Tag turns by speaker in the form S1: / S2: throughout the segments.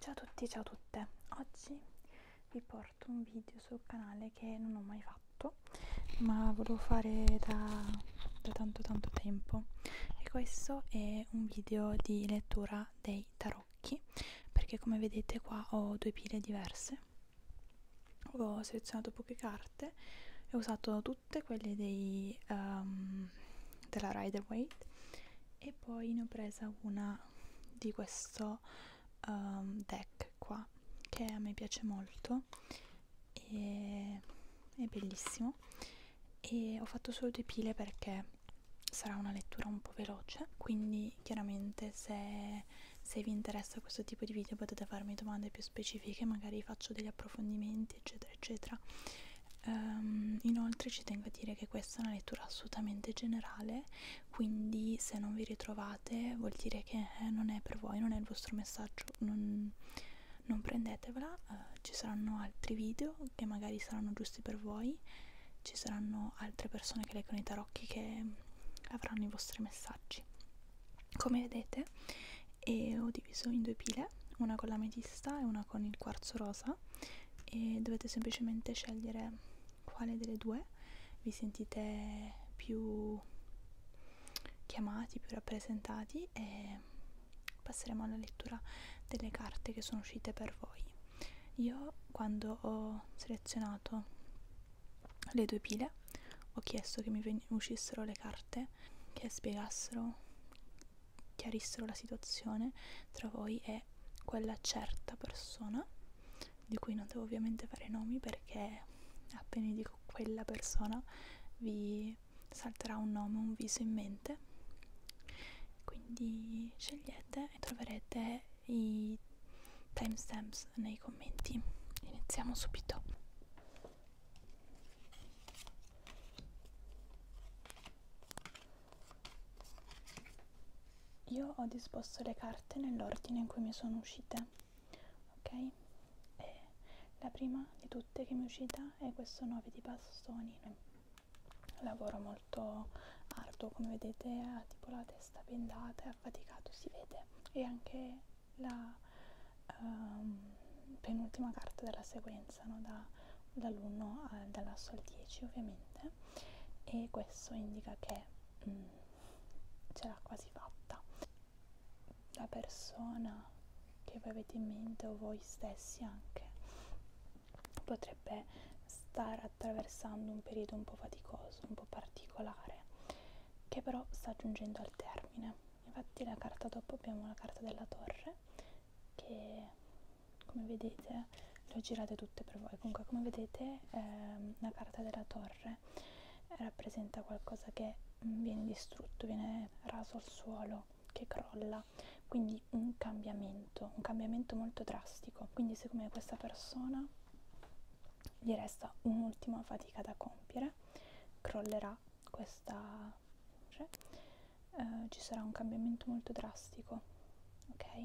S1: Ciao a tutti, ciao a tutte. Oggi vi porto un video sul canale che non ho mai fatto, ma volevo fare da, da tanto tanto tempo. E questo è un video di lettura dei tarocchi, perché come vedete qua ho due pile diverse. Ho selezionato poche carte e ho usato tutte quelle dei, um, della Rider Waite e poi ne ho presa una di questo um, deck qua che a me piace molto e è bellissimo e ho fatto solo due pile perché sarà una lettura un po' veloce quindi chiaramente se, se vi interessa questo tipo di video potete farmi domande più specifiche magari faccio degli approfondimenti eccetera eccetera Um, inoltre ci tengo a dire che questa è una lettura assolutamente generale, quindi se non vi ritrovate vuol dire che eh, non è per voi, non è il vostro messaggio, non, non prendetevela, uh, ci saranno altri video che magari saranno giusti per voi, ci saranno altre persone che leggono i tarocchi che avranno i vostri messaggi. Come vedete eh, ho diviso in due pile, una con l'ametista e una con il quarzo rosa e dovete semplicemente scegliere quale delle due vi sentite più chiamati, più rappresentati e passeremo alla lettura delle carte che sono uscite per voi. Io quando ho selezionato le due pile ho chiesto che mi uscissero le carte che spiegassero chiarissero la situazione tra voi e quella certa persona di cui non devo ovviamente fare nomi perché appena dico quella persona vi salterà un nome, un viso in mente. Quindi scegliete e troverete i timestamps nei commenti. Iniziamo subito. Io ho disposto le carte nell'ordine in cui mi sono uscite, ok? E la prima di tutte che mi è uscita è questo 9 di bastoni. Lavoro molto arduo, come vedete, ha tipo la testa bendata, è affaticato, si vede. E anche la um, penultima carta della sequenza avanzano da, dall'1 dall'asso al 10 ovviamente e questo indica che mm, ce l'ha quasi fatta la persona che voi avete in mente o voi stessi anche potrebbe stare attraversando un periodo un po' faticoso un po' particolare che però sta giungendo al termine infatti la carta dopo abbiamo la carta della torre che come vedete le ho girate tutte per voi comunque come vedete ehm, la carta della torre rappresenta qualcosa che mm, viene distrutto viene raso al suolo che crolla quindi un cambiamento un cambiamento molto drastico quindi siccome questa persona gli resta un'ultima fatica da compiere crollerà questa cioè, eh, ci sarà un cambiamento molto drastico, ok?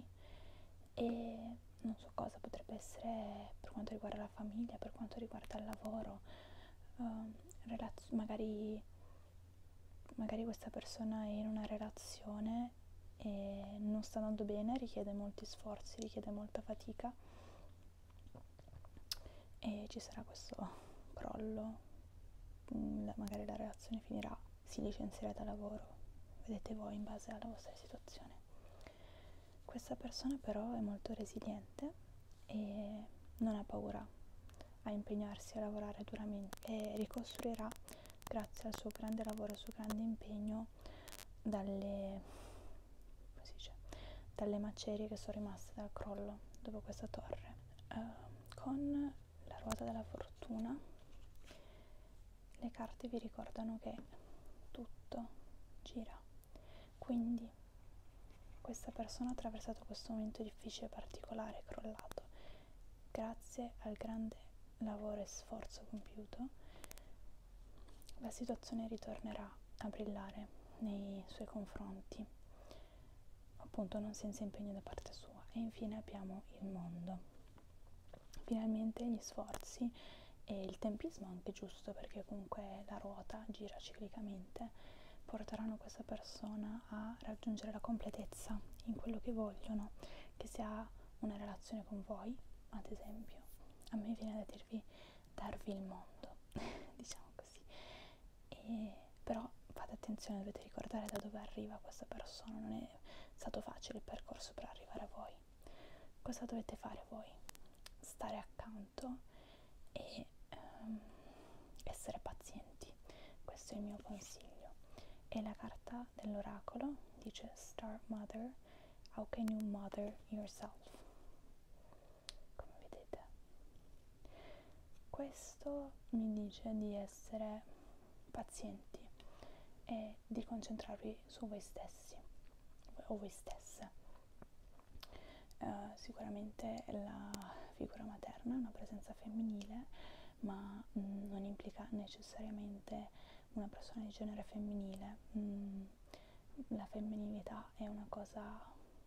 S1: E non so cosa potrebbe essere per quanto riguarda la famiglia, per quanto riguarda il lavoro, eh, magari, magari questa persona è in una relazione e non sta andando bene, richiede molti sforzi, richiede molta fatica e ci sarà questo crollo Mm, magari la relazione finirà, si licenzierà da lavoro, vedete voi in base alla vostra situazione. Questa persona però è molto resiliente e non ha paura a impegnarsi a lavorare duramente e ricostruirà grazie al suo grande lavoro, al suo grande impegno dalle, dice, dalle macerie che sono rimaste dal crollo dopo questa torre. Uh, con la ruota della fortuna le carte vi ricordano che tutto gira quindi questa persona ha attraversato questo momento difficile particolare crollato grazie al grande lavoro e sforzo compiuto la situazione ritornerà a brillare nei suoi confronti appunto non senza impegno da parte sua e infine abbiamo il mondo finalmente gli sforzi e il tempismo anche giusto perché comunque la ruota gira ciclicamente porteranno questa persona a raggiungere la completezza in quello che vogliono che sia una relazione con voi ad esempio a me viene da dirvi darvi il mondo diciamo così e, però fate attenzione dovete ricordare da dove arriva questa persona non è stato facile il percorso per arrivare a voi cosa dovete fare voi? stare accanto e um, essere pazienti questo è il mio consiglio e la carta dell'oracolo dice Star Mother How can you mother yourself? Come vedete questo mi dice di essere pazienti e di concentrarvi su voi stessi o voi stesse. Uh, sicuramente la figura materna è una presenza femminile, ma mh, mm, non implica necessariamente una persona di genere femminile. Mh, mm, la femminilità è una cosa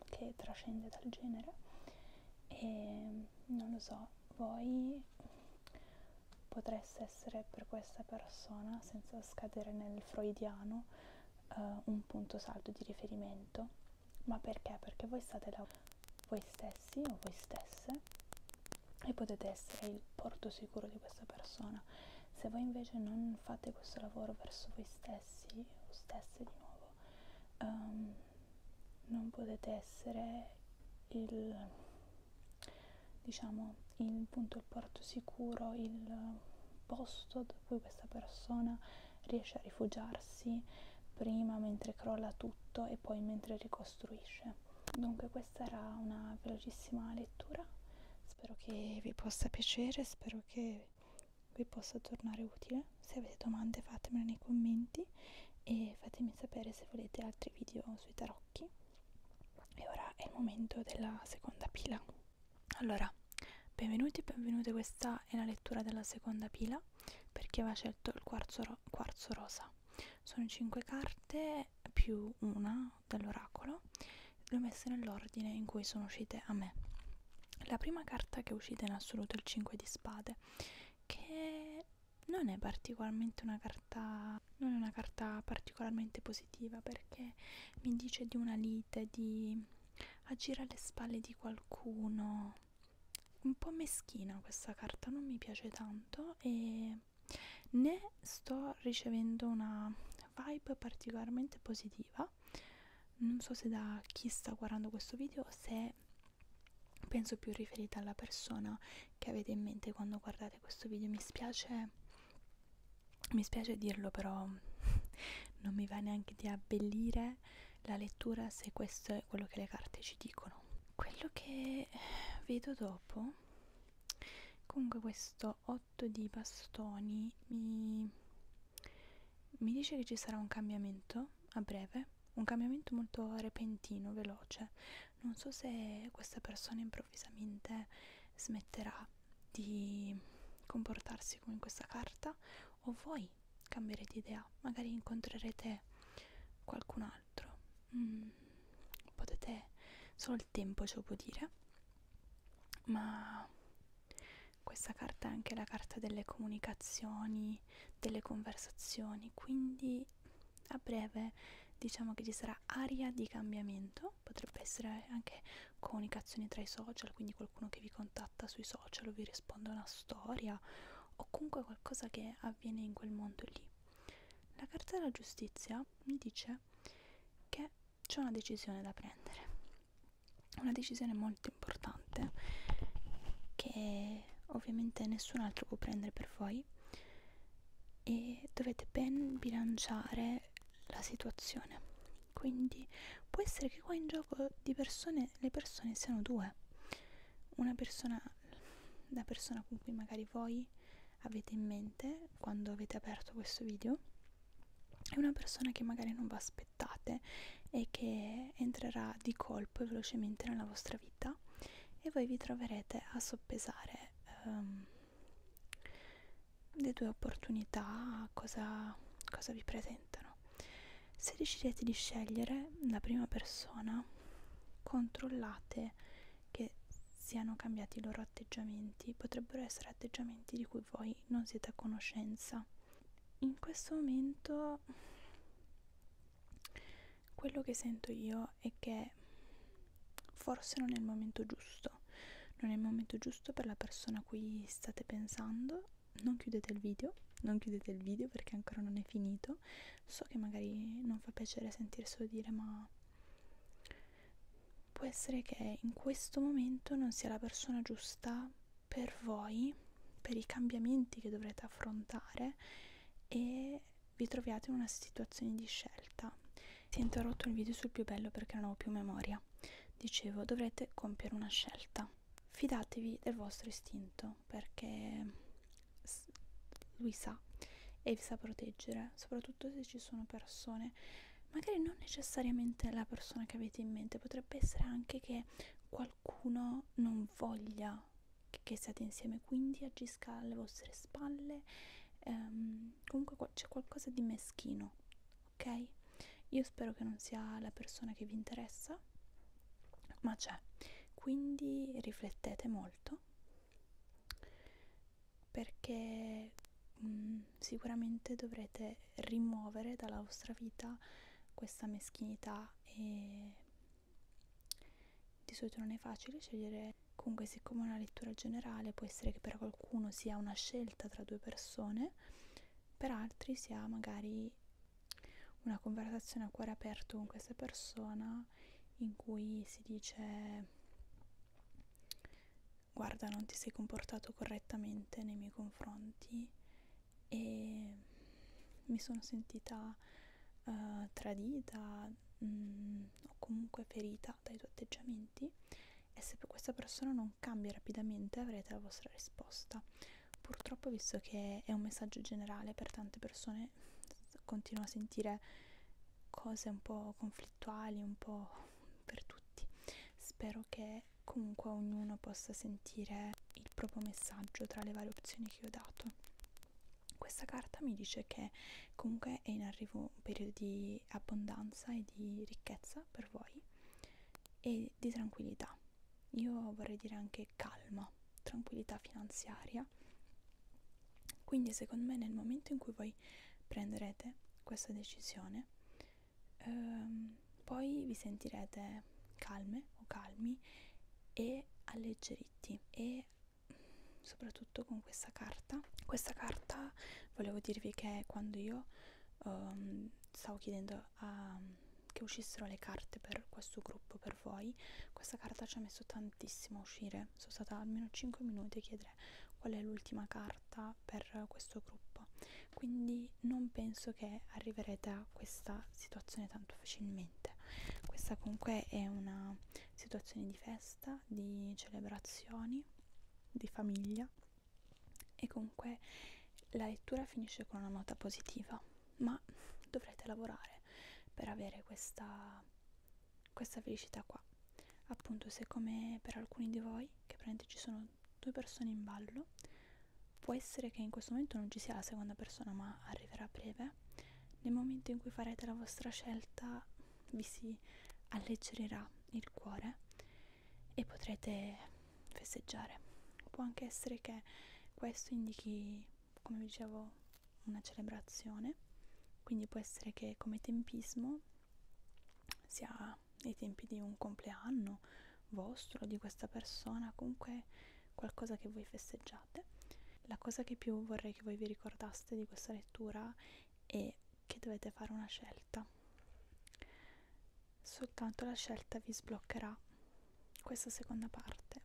S1: che trascende dal genere e non lo so, voi potreste essere per questa persona, senza scadere nel freudiano, eh, un punto saldo di riferimento, ma perché? Perché voi state là voi stessi o voi stesse e potete essere il porto sicuro di questa persona. Se voi invece non fate questo lavoro verso voi stessi o stesse di nuovo, um, non potete essere il diciamo il punto il porto sicuro il posto da cui questa persona riesce a rifugiarsi prima mentre crolla tutto e poi mentre ricostruisce dunque questa era una velocissima lettura spero che vi possa piacere spero che vi possa tornare utile. Se avete domande fatemele nei commenti e fatemi sapere se volete altri video sui tarocchi. E ora è il momento della seconda pila. Allora, benvenuti, benvenute, questa è la lettura della seconda pila perché aveva scelto il quarzo, ro quarzo rosa. Sono 5 carte più una dell'oracolo, le ho messe nell'ordine in cui sono uscite a me la prima carta che è uscita in assoluto è il 5 di spade che non è particolarmente una carta non è una carta particolarmente positiva perché mi dice di una lite di agire alle spalle di qualcuno un po' meschina questa carta non mi piace tanto e né sto ricevendo una vibe particolarmente positiva non so se da chi sta guardando questo video se penso più riferita alla persona che avete in mente quando guardate questo video mi spiace mi spiace dirlo però non mi va neanche di abbellire la lettura se questo è quello che le carte ci dicono quello che vedo dopo comunque questo 8 di bastoni mi, mi dice che ci sarà un cambiamento a breve un cambiamento molto repentino, veloce. Non so se questa persona improvvisamente smetterà di comportarsi come in questa carta o voi cambierete idea, magari incontrerete qualcun altro. Mm, potete solo il tempo ce lo può dire, ma questa carta è anche la carta delle comunicazioni, delle conversazioni, quindi a breve diciamo che ci sarà aria di cambiamento, potrebbe essere anche comunicazioni tra i social, quindi qualcuno che vi contatta sui social o vi risponde a una storia o comunque qualcosa che avviene in quel mondo lì. La carta della giustizia mi dice che c'è una decisione da prendere una decisione molto importante che ovviamente nessun altro può prendere per voi e dovete ben bilanciare la situazione quindi può essere che qua in gioco di persone le persone siano due una persona la persona con cui magari voi avete in mente quando avete aperto questo video è una persona che magari non va, aspettate e che entrerà di colpo e velocemente nella vostra vita e voi vi troverete a soppesare um, le due opportunità cosa, cosa vi presentano se decidete di scegliere la prima persona controllate che siano cambiati i loro atteggiamenti potrebbero essere atteggiamenti di cui voi non siete a conoscenza in questo momento quello che sento io è che forse non è il momento giusto, non è il momento giusto per la persona a cui state pensando. Non chiudete il video, non chiudete il video perché ancora non è finito. So che magari non fa piacere sentirselo dire, ma può essere che in questo momento non sia la persona giusta per voi, per i cambiamenti che dovrete affrontare e vi troviate in una situazione di scelta. Si è interrotto il video sul più bello perché non ho più memoria. Dicevo, dovrete compiere una scelta. Fidatevi del vostro istinto perché lui sa e vi sa proteggere, soprattutto se ci sono persone, magari non necessariamente la persona che avete in mente, potrebbe essere anche che qualcuno non voglia che siate insieme, quindi agisca alle vostre spalle. Um, comunque c'è qualcosa di meschino, ok? Io spero che non sia la persona che vi interessa, ma c'è. Quindi riflettete molto perché um, sicuramente dovrete rimuovere dalla vostra vita questa meschinità e di solito non è facile scegliere comunque siccome una lettura generale può essere che per qualcuno sia una scelta tra due persone per altri sia magari una conversazione a cuore aperto con questa persona in cui si dice guarda non ti sei comportato correttamente nei miei confronti e mi sono sentita uh, tradita mh, mm, o comunque ferita dai tuoi atteggiamenti e se questa persona non cambia rapidamente avrete la vostra risposta. Purtroppo visto che è un messaggio generale per tante persone continuo a sentire cose un po' conflittuali, un po' per tutti. Spero che comunque ognuno possa sentire il proprio messaggio tra le varie opzioni che ho dato. Questa carta mi dice che comunque è in arrivo un periodo di abbondanza e di ricchezza per voi e di tranquillità. Io vorrei dire anche calma, tranquillità finanziaria. Quindi secondo me nel momento in cui voi prenderete questa decisione ehm, poi vi sentirete calme o calmi e alleggeriti e soprattutto con questa carta questa carta volevo dirvi che quando io um, stavo chiedendo a, che uscissero le carte per questo gruppo per voi questa carta ci ha messo tantissimo a uscire sono stata almeno 5 minuti a chiedere qual è l'ultima carta adatta per questo gruppo quindi non penso che arriverete a questa situazione tanto facilmente questa comunque è una situazione di festa di celebrazioni di famiglia e comunque la lettura finisce con una nota positiva ma dovrete lavorare per avere questa, questa felicità qua appunto se come per alcuni di voi che prende ci sono due persone in ballo può essere che in questo momento non ci sia la seconda persona ma arriverà a breve nel momento in cui farete la vostra scelta vi si alleggerirà il cuore e potrete festeggiare può anche essere che questo indichi come dicevo una celebrazione quindi può essere che come tempismo sia ai tempi di un compleanno vostro, di questa persona, comunque qualcosa che voi festeggiate. La cosa che più vorrei che voi vi ricordaste di questa lettura è che dovete fare una scelta. Soltanto la scelta vi sbloccherà questa seconda parte.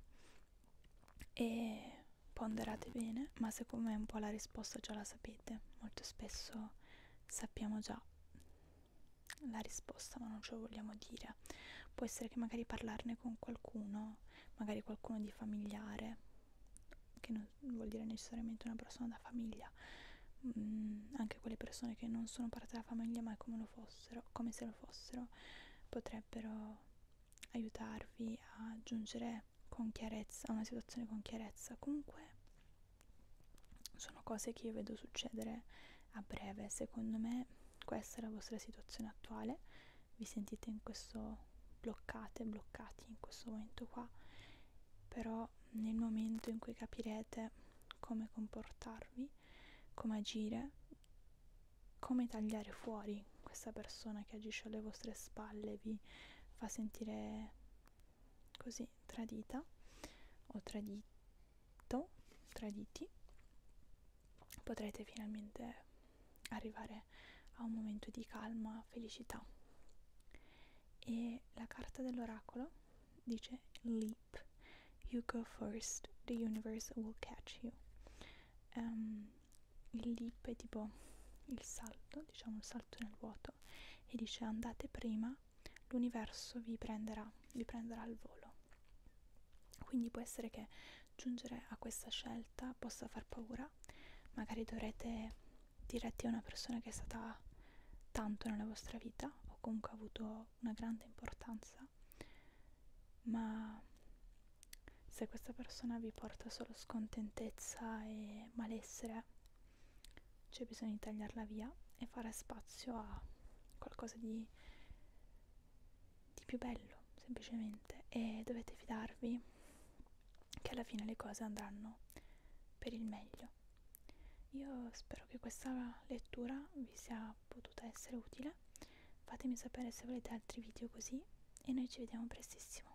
S1: E ponderate bene, ma secondo me un po' la risposta già la sapete, molto spesso sappiamo già la risposta, ma non ce lo vogliamo dire. Può essere che magari parlarne con qualcuno, magari qualcuno di familiare, che non vuol dire necessariamente una persona da famiglia, mm, anche quelle persone che non sono parte della famiglia, ma come, lo fossero, come se lo fossero, potrebbero aiutarvi a giungere con chiarezza a una situazione con chiarezza. Comunque sono cose che io vedo succedere a breve secondo me questa è la vostra situazione attuale vi sentite in questo bloccate bloccati in questo momento qua però nel momento in cui capirete come comportarvi come agire come tagliare fuori questa persona che agisce alle vostre spalle vi fa sentire così tradita o tradito traditi potrete finalmente arrivare a un momento di calma felicità e la carta dell'oracolo dice leap you go first the universe will catch you um, il leap è tipo il salto diciamo il salto nel vuoto tutto e dice andate prima, l'universo vi prenderà, vi prenderà al volo. Quindi può essere che giungere a questa scelta possa far paura, magari dovrete diretti a una persona che è stata tanto nella vostra vita o comunque ha avuto una grande importanza, ma se questa persona vi porta solo scontentezza e malessere, c'è bisogno di tagliarla via e fare spazio a qualcosa di, di più bello semplicemente e dovete fidarvi che alla fine le cose andranno per il meglio io spero che questa lettura vi sia potuta essere utile fatemi sapere se volete altri video così e noi ci vediamo prestissimo